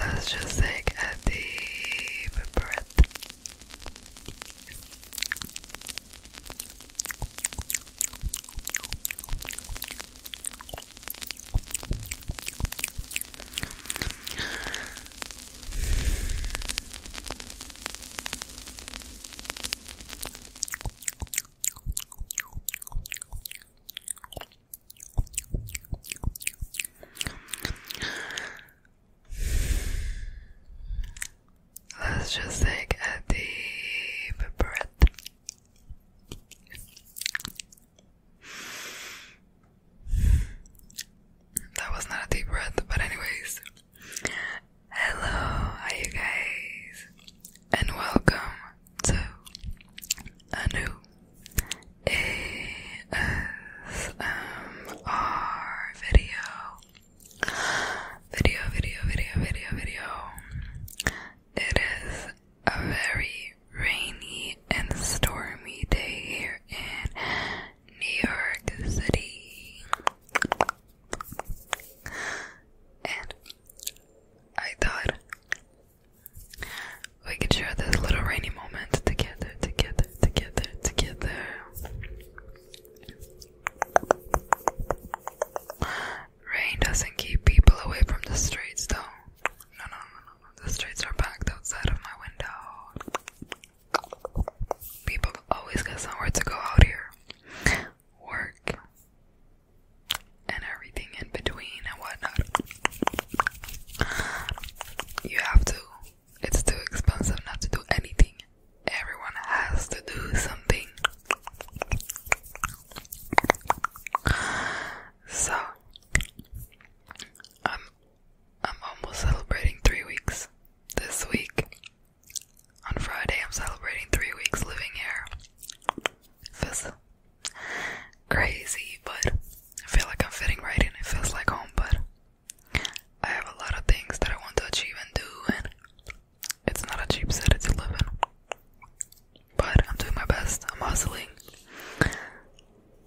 Let's just take a deep breath. Let's just take a deep breath. That was not a deep breath, but anyways. Hello, how guys? And welcome to a new ASMR video. Video, video, video, video, video. It is a very rainy and stormy day here in New York City. And I thought we could share this little rainy moment together, together, together, together. Rain doesn't keep people away from the streets, though. No, no, no, the streets are packed outside of my window. People always got somewhere to go out here. Work and everything in between and whatnot. You have to. It's too expensive not to do anything. Everyone has to do something. So, I'm I'm almost celebrating three weeks this week. On Friday I'm celebrating three weeks living here. It feels crazy, but I feel like I'm fitting right in. It feels like home, but I have a lot of things that I want to achieve and do and it's not a cheap city to live in but I'm doing my best. I'm hustling.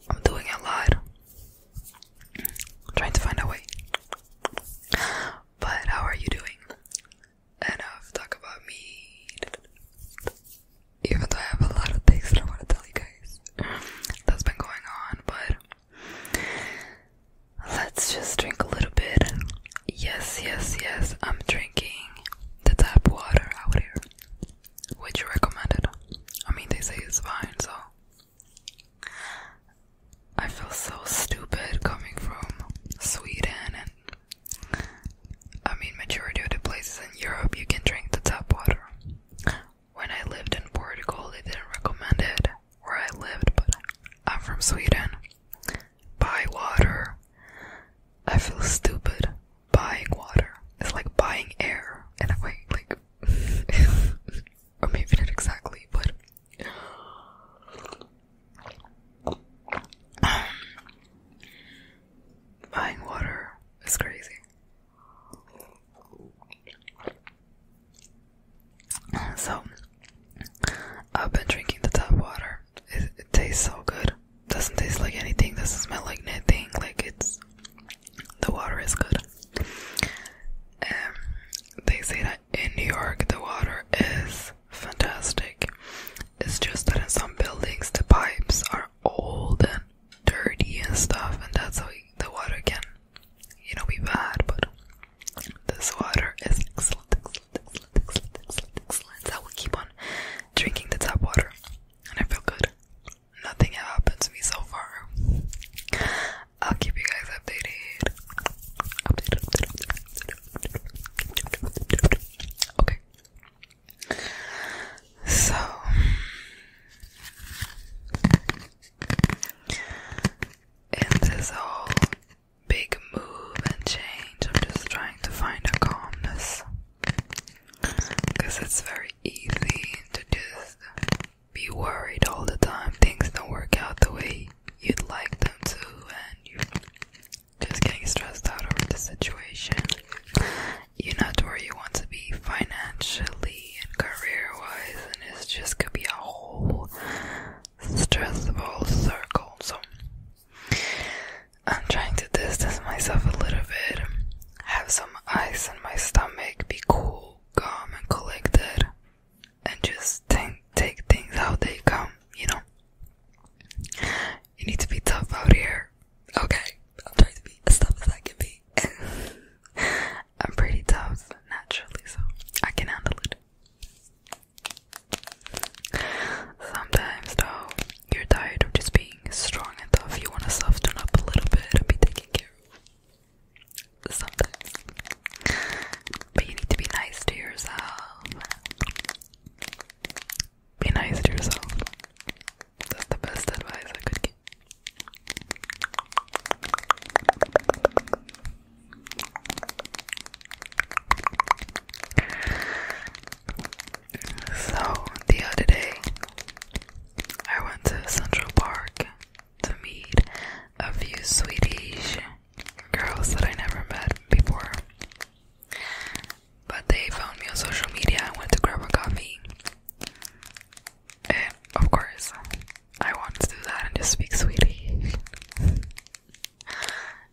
I'm doing a lot. I'm trying to find a way. But how are you doing? Enough talk about me. Even though I have a lot of things that I want to tell you guys that's been going on, but let's just drink a little bit. Yes, yes, yes, I'm drinking the tap water out here which you recommend it? I mean, they say it's fine, so I feel so stupid coming from Sweden and I mean, majority of the places in Europe you can drink the tap water. When I lived in Portugal, they didn't recommend it where I lived, but I'm from Sweden. Buy water. I feel stupid buying water. It's like buying air in a way, like or maybe not exactly, but um, buying water is crazy. So I've been drinking the tap water. it tastes so good doesn't taste like anything, doesn't smell like nothing, like it's the water is good. Um, they say that in New York the water is fantastic. It's just that in some buildings the pipes are old and dirty and stuff, and that's how the water can, you know, be bad. But this water is excellent, excellent, excellent, excellent, excellent. excellent. I will keep on drinking the tap water and I feel good. Nothing has happened to me so far. I'll keep you guys updated. Okay. So in this whole big move and change, I'm just trying to find a calmness. Because it's very easy to just be worried all the time. Things don't work out the way you'd like them to, and you're just getting stressed out over the situation. You're not where you want to be financially and career wise, and it's just gonna be a whole stressful circle. So, I'm trying to distance myself a little bit, have some ice in my stomach, be cool, calm, and collected, and just think, take things how they come, you know? You need to be tough out here. Okay, I'm trying to be as tough as I can be. I'm pretty tough naturally, so I can handle it. Sometimes though, you're tired of just being strong and tough. You want to soften up a little bit and be taken care of. Sometimes. But you need to be nice to yourself. Be nice to yourself. That's the best advice I could give. So, the other day, I went to Central Park to meet a few Swedish girls that I never met before. But they found me on social media and went to grab a coffee. And eh, of course, I want to do that and just speak Swedish.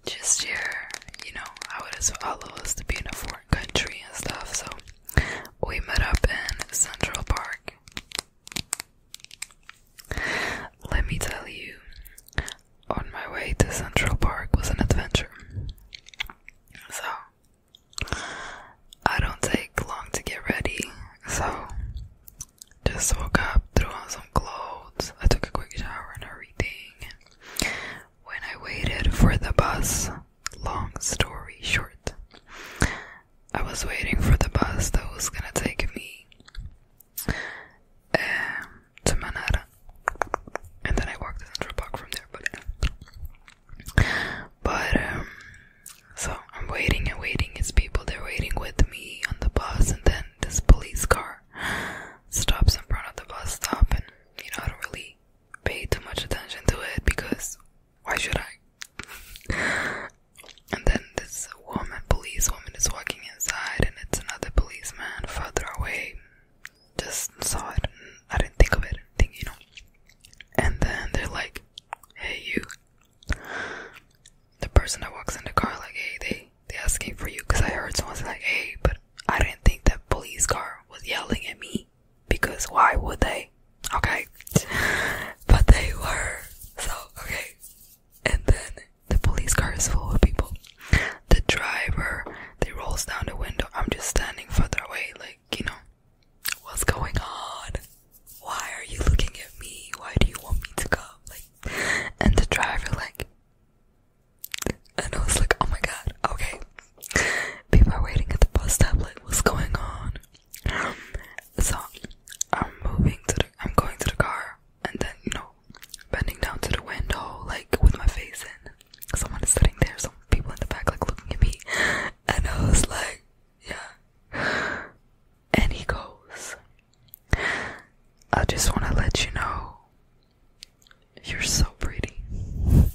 just here, you know, I would as us to be in a foreign country and stuff. So we met up in Central Park. Let me tell you, on my way to Central Park was an adventure. So I don't take long to get ready. So just woke up, threw on some clothes. I took a quick shower and everything. When I waited for the bus, long story short, I was waiting for the bus that was gonna take me um, to Manara, and then I walked to Central Park from there. But, um, so I'm waiting and waiting. It's people they're waiting with me on the bus, and then this police car stops in front of the bus stop, and you know, I don't really pay too much attention to it because why should I? and then this woman, police woman, is walking inside, and it's another policeman further away. Just saw it, I didn't think of it, think you know. And then they're like, "Hey, you." The person that walks in the car, like, "Hey, they they're asking for you because I heard someone say hey, but I didn't think that police car was yelling at me because why would they? Okay. but they were. So, okay. And then the police car is full of people. The driver, they rolls down the window. I'm just standing further away, like, you know, what's going on? Why are you looking at me? Why do you want me to go? Like and the driver like and I was like, oh my god, okay. People are waiting at the bus stop, like, what's going on? So I'm moving to the, I'm going to the car, and then, you know, bending down to the window, like, with my face in. Someone is sitting there, some people in the back, like, looking at me. And I was like, yeah. And he goes, I just want to let you know you're so pretty. I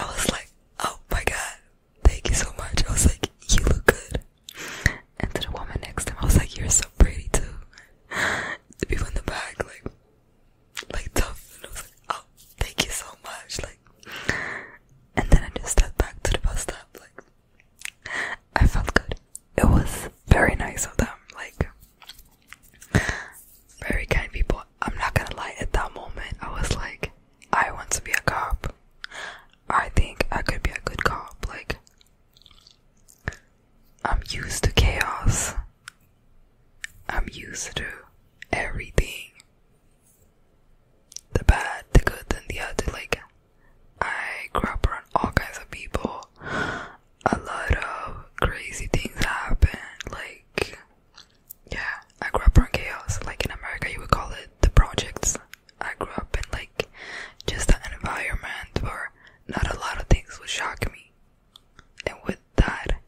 was like, oh my god, thank you so much. I was like, you look good. And to the woman next to him, I was like, you're so pretty too. The people in the back, like, like tough. I was like, oh, thank you so much. Like, and then I just stepped back to the bus stop. Like, I felt good it was very nice of them, like very kind people. I'm not gonna lie, at that moment I was like, I want to be a cop. I think I could be a good cop, like I'm used to chaos. I'm used to everything. The bad, the good, and the other, like I grew up around all kinds of people. A lot of crazy things happen. Like, yeah, I grew up around chaos. Like in America, you would call it the projects. I grew up in like just an environment where not a lot of things would shock me. And with that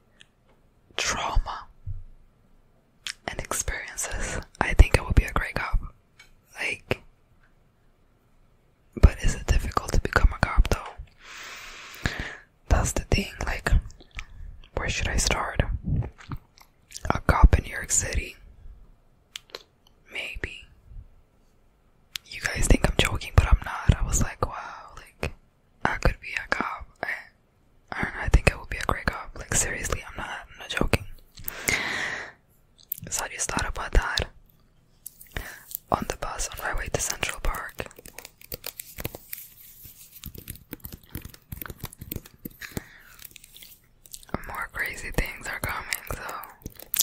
trauma and experiences, I think I would be a great cop. Like, but is it difficult to become a cop though? That's the thing, like, where should I start? A cop in New York City? Maybe. You guys think I'm joking, but I'm not. I was like, wow, like, I could be a cop. I, I think I would be a great cop. Like, seriously, I'm not, I'm not joking. So I just thought about that on the bus on my way to Central Park. More crazy things are coming, so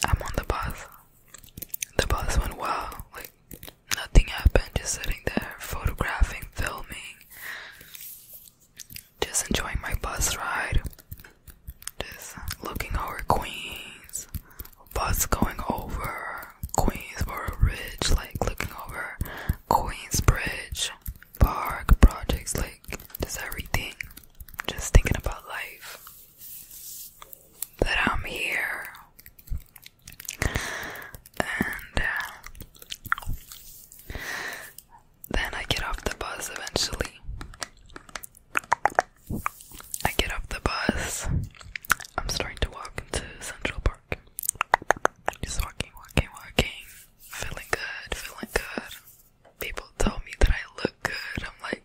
I'm on the bus. The bus went well, like nothing happened, just sitting there, photographing, filming, just enjoying my bus ride. Just looking over Queens, bus going over Queensboro Bridge, like looking over Queens Bridge Park projects, like just everything. Just thinking about life. That I'm here. And uh, then I get off the bus eventually. I get off the bus. I'm starting to walk into Central Park. Just walking, walking, walking. Feeling good, feeling good. People tell me that I look good. I'm like,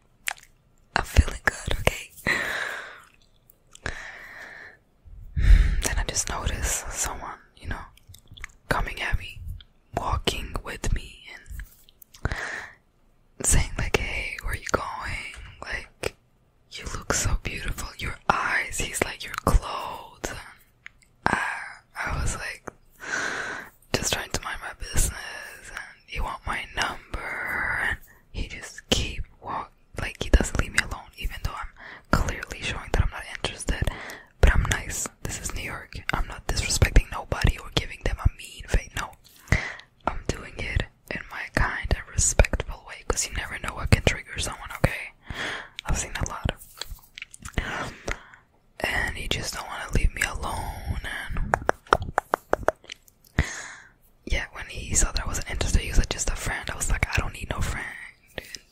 I'm feeling good, okay? then I just notice someone, you know, coming at me walking with me and saying like, "Hey, where you going?" Like, "You look so beautiful. Your eyes." He's like, "Your clothes." I, I was like, just trying to mind my business, and he want my number, and he just keep walking. Like he doesn't leave me alone, even though I'm clearly showing that I'm not interested. But I'm nice. This is New York. I'm not disrespecting nobody or giving them a mean face. No. I'm doing it in my kind and respectful way because you never know what can trigger someone, okay? I've seen a lot. And he just don't want to leave me alone. And yeah, when he saw that I wasn't interested, he was like, just a friend. I was like, I don't need no friend.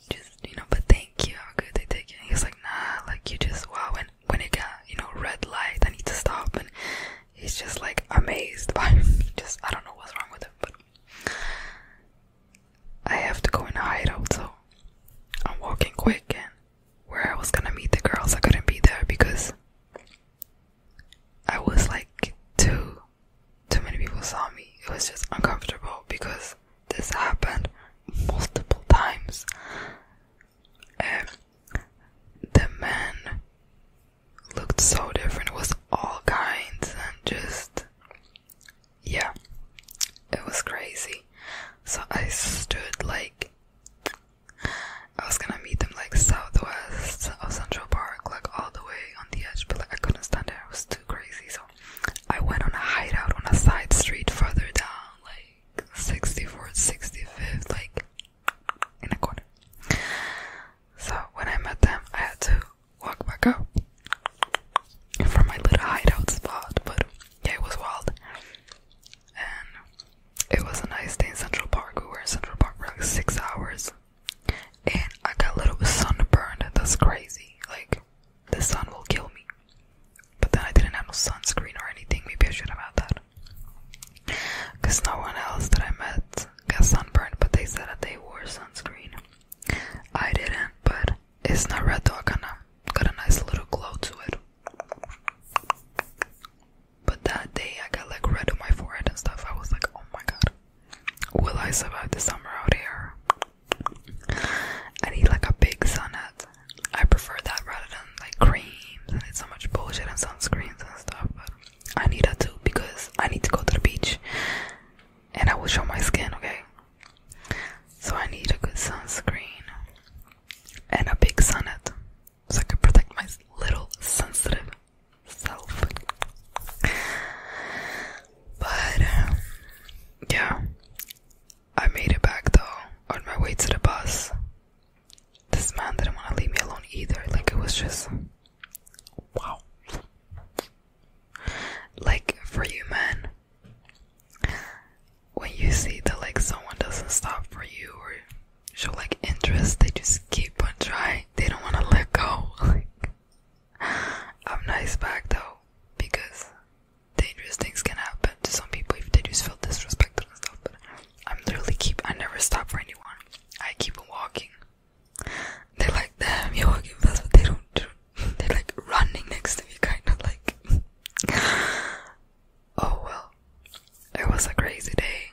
Just, you know, but thank you. How good they take it. He like, nah, like you just wow when it got you know red light I need to stop and he's just like amazed by just I don't know what's wrong with him but I have to go in a hideout so I'm walking quick and where I was gonna meet the girls I couldn't be there because I was like too too many people saw me it was just uncomfortable because this happened multiple times the man looked so different. It was all kinds and just yeah, it was crazy. So I stood like I was gonna meet them like southwest of Central Park, like all the way on the edge, but like I couldn't stand there. It was too crazy. So I went on a hideout on a side street further down, like like 64th, 65th, like in a corner. So when I met them, I had to walk back up from my little hideout spot, but yeah, it was wild. And it was a nice day in Central Park. We were in Central Park for like six hours, and I got a little bit sunburned. That's crazy. Like the sun will kill me. But then I didn't have no sunscreen or anything. Maybe I should have had that. Because no one else that I met got sunburned, but they said that they wore sunscreen. I didn't, but it's not red though. I kinda got a nice little glow to it. But that day I got like red on my forehead and stuff. I was like, oh my god, will I survive the summer out here? I need like a big sun I prefer that rather than like creams and it's so much bullshit and sunscreens and stuff. But I need that too because I need to go to the beach and I will show my skin, okay? So I need a good sunscreen and a big sunnet so I can protect my little sensitive self. But um, yeah, I made it back though, on my way to the bus. This man didn't want to leave me alone either. Like, it was just. Wow. Like, for you, man, when you see that, like, someone doesn't stop for you or show, like, interest, they just keep on trying. They don't want to let go. Like, I'm nice back though, because dangerous things can happen to some people if they just feel disrespected and stuff. But I'm literally keep I never stop for anyone. I keep walking. They like damn you're walking fast, but they don't. Do. They're like running next to me, kind of like. oh well, it was a crazy day.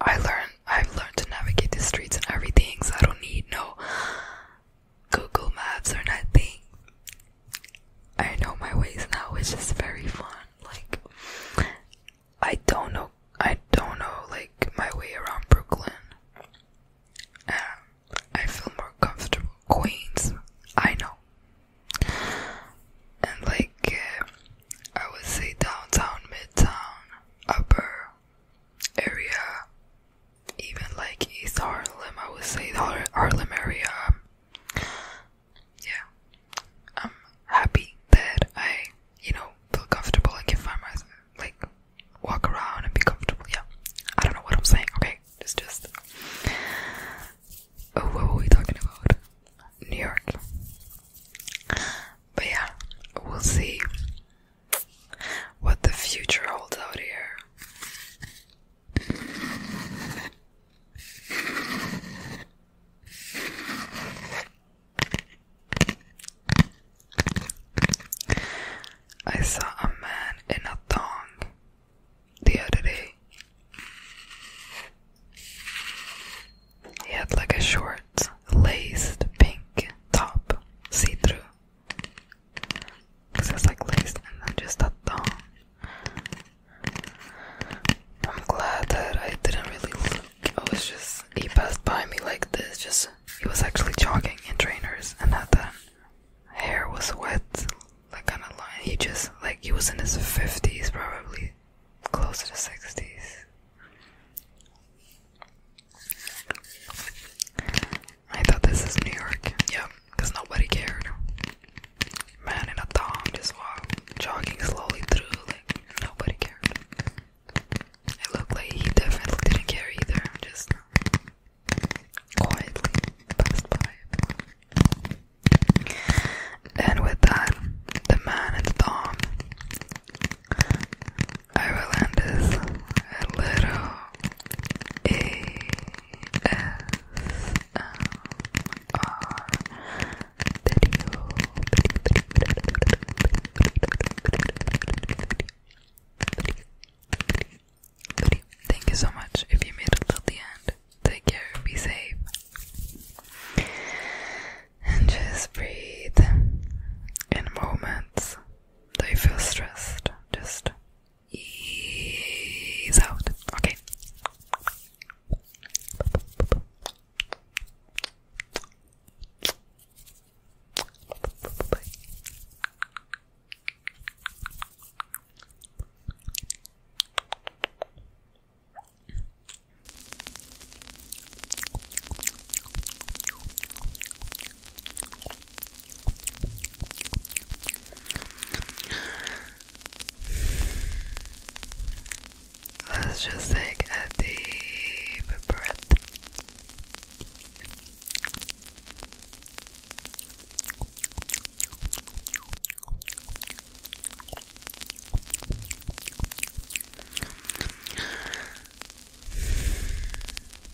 I learned. I've learned to navigate the streets and everything, so I don't need no Google Maps or nothing. I know my ways now, which is very fun. Like I don't know I don't know like my way around Brooklyn. I feel more comfortable. Queens, I know. And like I would say downtown, midtown, upper area, even like East Harlem, I would say the Harlem area. yeah, I'm happy that I, you know, feel comfortable and can find myself, like, walk around and be comfortable. Yeah, I don't know what I'm saying. Okay, it's just. Oh, what were we talking about? New York. But yeah, we'll see what the future holds out here. I saw a man in a thong the other day. He had like a short, laced pink top, see through, this is like laced and then just a I'm glad that I didn't really look. I was just, he passed by me like this. Just, he was actually jogging in trainers and had that hair was wet, like on a line. He just, like, he was in his 50s probably, close to the 60s. I thought this is New York. Yep, because nobody cared. Man in a thong just walked, slowly through, like nobody cared. It looked like he definitely didn't care either, just quietly passed by. And with that, the man in the thong, I relented a video. Thank you so much if you made it till the end. Take care, be safe. And just breathe in moments that you feel stressed. Just ease out. Okay. Let's just take a deep breath.